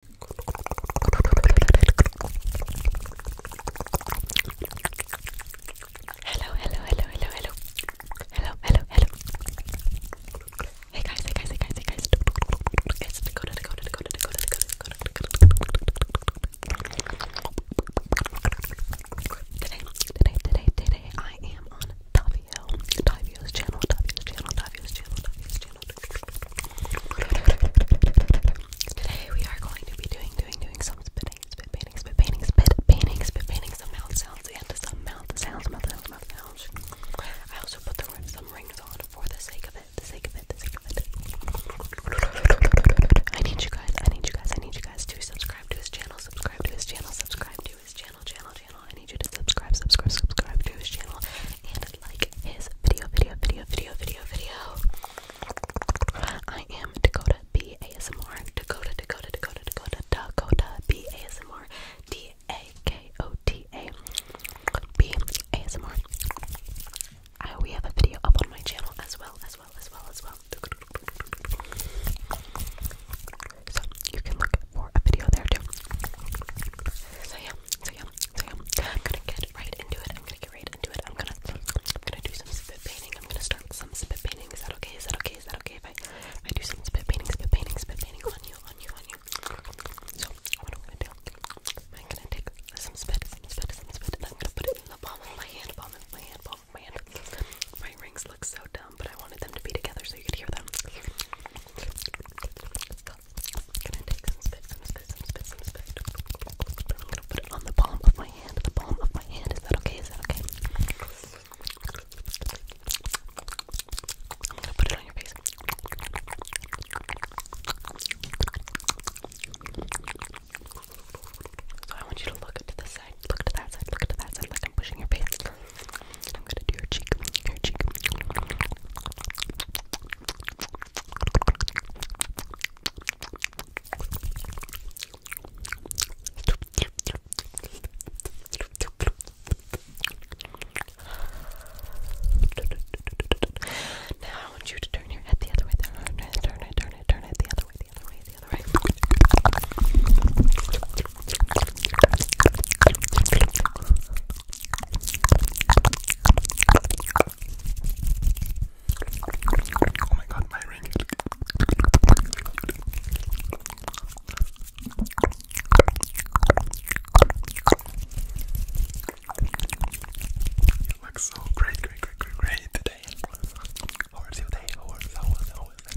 Hello, hello, hello, hello, hello. Hello, hello, Hey guys, hey guys, hey guys, hey guys. Today, today, today, today, I am on Tavio's channel, Tavio's channel, Tavio's channel, Tavio's channel. Today we are going to be doing, doing, doing some spitting, spit painting, spit painting, spit painting, spit painting, some mouth sounds and some mouth sounds, mouth sounds, mouth sounds. I also put the, some rings on for the sake of it, the sake of it, the sake of it. I need you guys, I need you guys, I need you guys to subscribe to his channel, subscribe to his channel, subscribe to his channel, channel, channel. I need you to subscribe, subscribe, subscribe to his channel and like his video, video, video, video, video, video. I am Dakota B ASMR. Dakota, Dakota, Dakota, Dakota, Dakota B ASMR. D A K O T A B ASMR. I, we have a video up on my channel as well, as well, as well, as well. So you can look for a video there too. So yeah, so yeah, so yeah, I'm gonna get right into it. I'm gonna get right into it. I'm gonna, I'm gonna do some spit painting. I'm gonna start some spit painting. Is that okay? Is that okay? Is that okay I, I do some spit painting, spit painting, spit painting on you, on you, on you? So what I'm gonna do? I'm gonna take some spit, some spit, some spit, and I'm gonna put it in the palm of my hand, palm of my hand, palm of my hand. My rings look so dumb, but I wanted them to be together so you could hear them gonna take some spit, some spit, some spit, some spit. I'm gonna put it on the palm of my hand. The palm of my hand. Is that okay? Is that okay? I'm gonna put it on your face. So I want you to look to the side, look to that side, look to that side, like I'm pushing your face. I'm gonna do your cheek, your cheek. Now I want you to turn your head the other way. Turn it, turn it, turn it, turn it the other way, the other way, the other way. Oh my god, my ring. You look so great, great, great, great, great today. How was your day? How was, how was, how was it?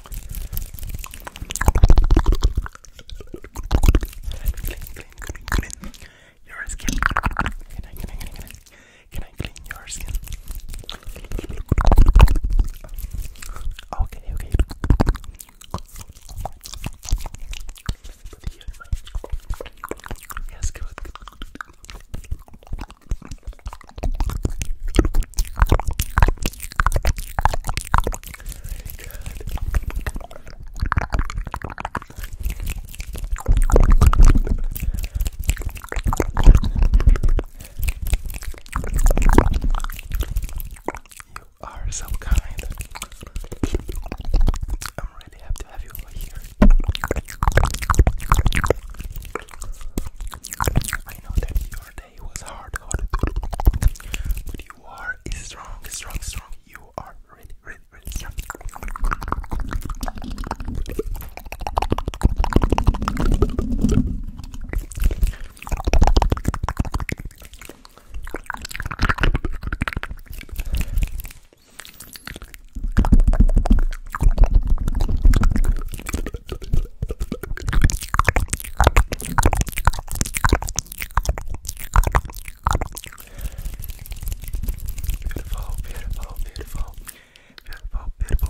clean, clean your skin. Can I, can I, can I, can I, can I clean your skin? Okay, okay. Yes, good. good. You are so kind. I'm really happy to have you over here. I know that your day was hard, hard, but you are strong, strong, strong. You are really, really, really Beautiful, beautiful, beautiful, beautiful, beautiful.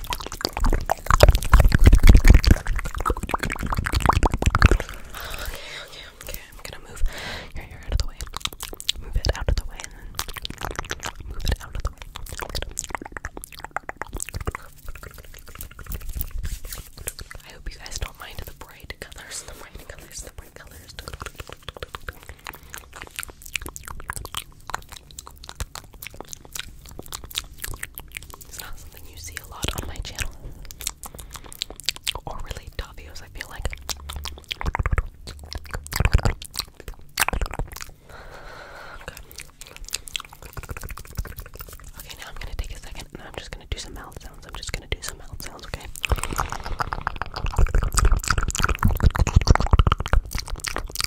okay, okay, I'm gonna move your hair out of the way. Move it out of the way and then move it out of the way. I hope you guys don't mind the bright colors, the bright colors, the bright colors. It's not something you see a lot on my channel. Or really videos, I feel like. okay, now I'm gonna take a second and I'm just gonna do some mouth sounds. I'm just gonna do some mouth sounds, okay?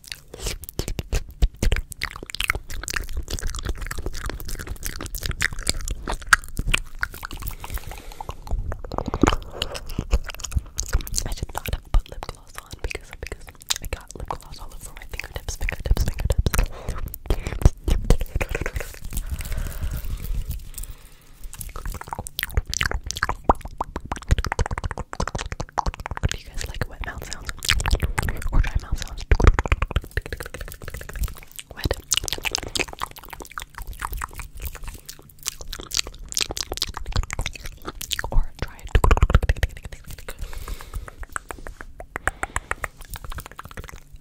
I should not have put lip gloss on because because I got lip gloss all over my fingertips, fingertips, fingertips. Do you guys like wet mouth sounds? Or dry mouth sounds? Wet. Or dry.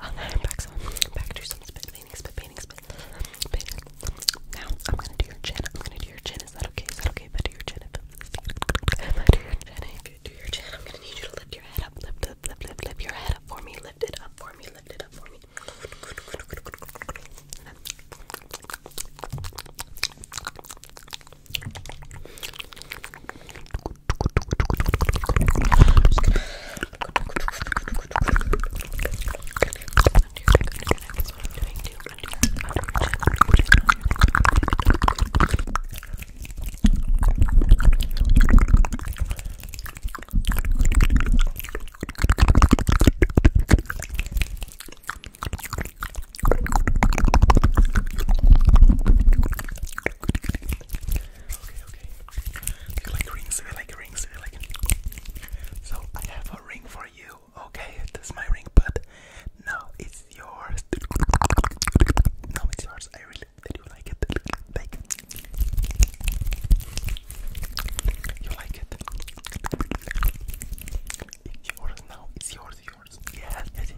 Um, back, some, back to some spit painting, spit painting, spit painting. Now I'm gonna do your chin. I'm gonna do your chin chin. Is that okay? Is that okay? If I do your chin, if I do your chin, if you do your chin, I'm gonna need you to lift your head up. Lift, lift, lift, lift, lift your head up for me. Lift it up for me. Lift it up for me. I'm just gonna do your neck, under your neck. That's what I'm doing too okay. Do you like rings? Do you like rings? Do you like? So I have a ring for you. Oh, okay, that's my ring, but now it's yours. Now it's yours. I really did you like it? you like it? It's yours now. It's yours. Yours. Yes. Yes. yes.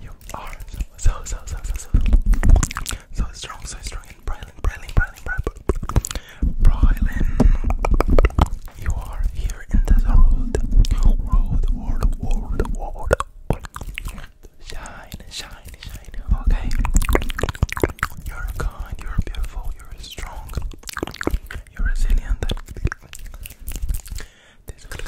You are so so so so so so strong, so strong and brilliant, brilliant, brilliant, brilliant, brilliant. You are here in the world, world, world, world, world. Shine, shine, shine. Okay. You're kind, you're beautiful, you're strong, you're resilient. This Okay,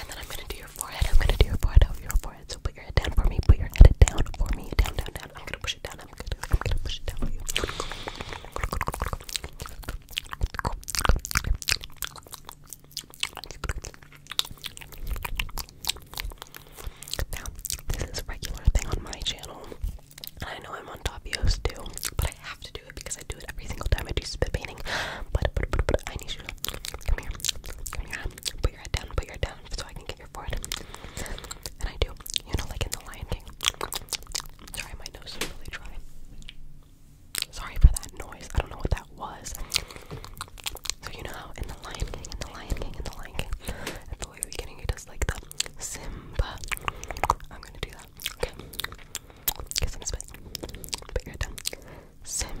and then I'm gonna do your forehead. I'm gonna do your forehead over your forehead. So put your head down for me. Put your head down for me. Down, down, down. I'm gonna push it down. I'm gonna, push it down Now, this is a regular thing on my channel. And I know I'm on top too, but I have to do it because I do it every single time I do spit painting. But, I need you to come here, put your head down, put your head down so I can get your forehead. And I do, you know, like in The Lion King. Sorry, my nose is really dry. Sorry for that noise. I don't know what that was. So you know how in The Lion King, in The Lion King, in The Lion King, at the very beginning it does like the Simba. I'm gonna do that. Okay. Guess I'm spitting. But you're done. Simba.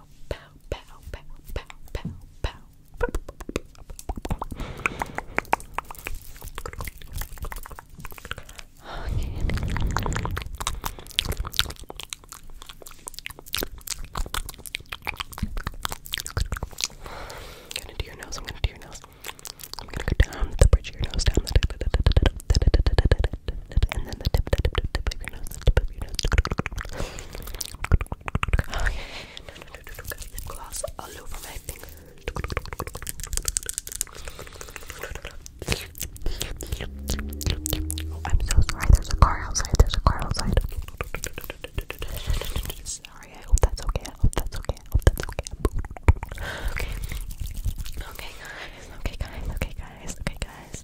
pow, pow, pow, pow, pow, pow, pow. I'm gonna do your nose. I'm gonna do your nose. I'm gonna go down the bridge of your nose, down and then the tip, tip, tip of your nose the tip of your nose. Okay. No, no, no, no, no. Lip gloss all over my fingers. Oh, I'm so sorry. There's a car outside. There's a car outside. Sorry. I hope that's okay. I hope that's okay. I hope that's okay. Okay. Okay, guys. Okay, guys. Okay, guys. Okay, guys.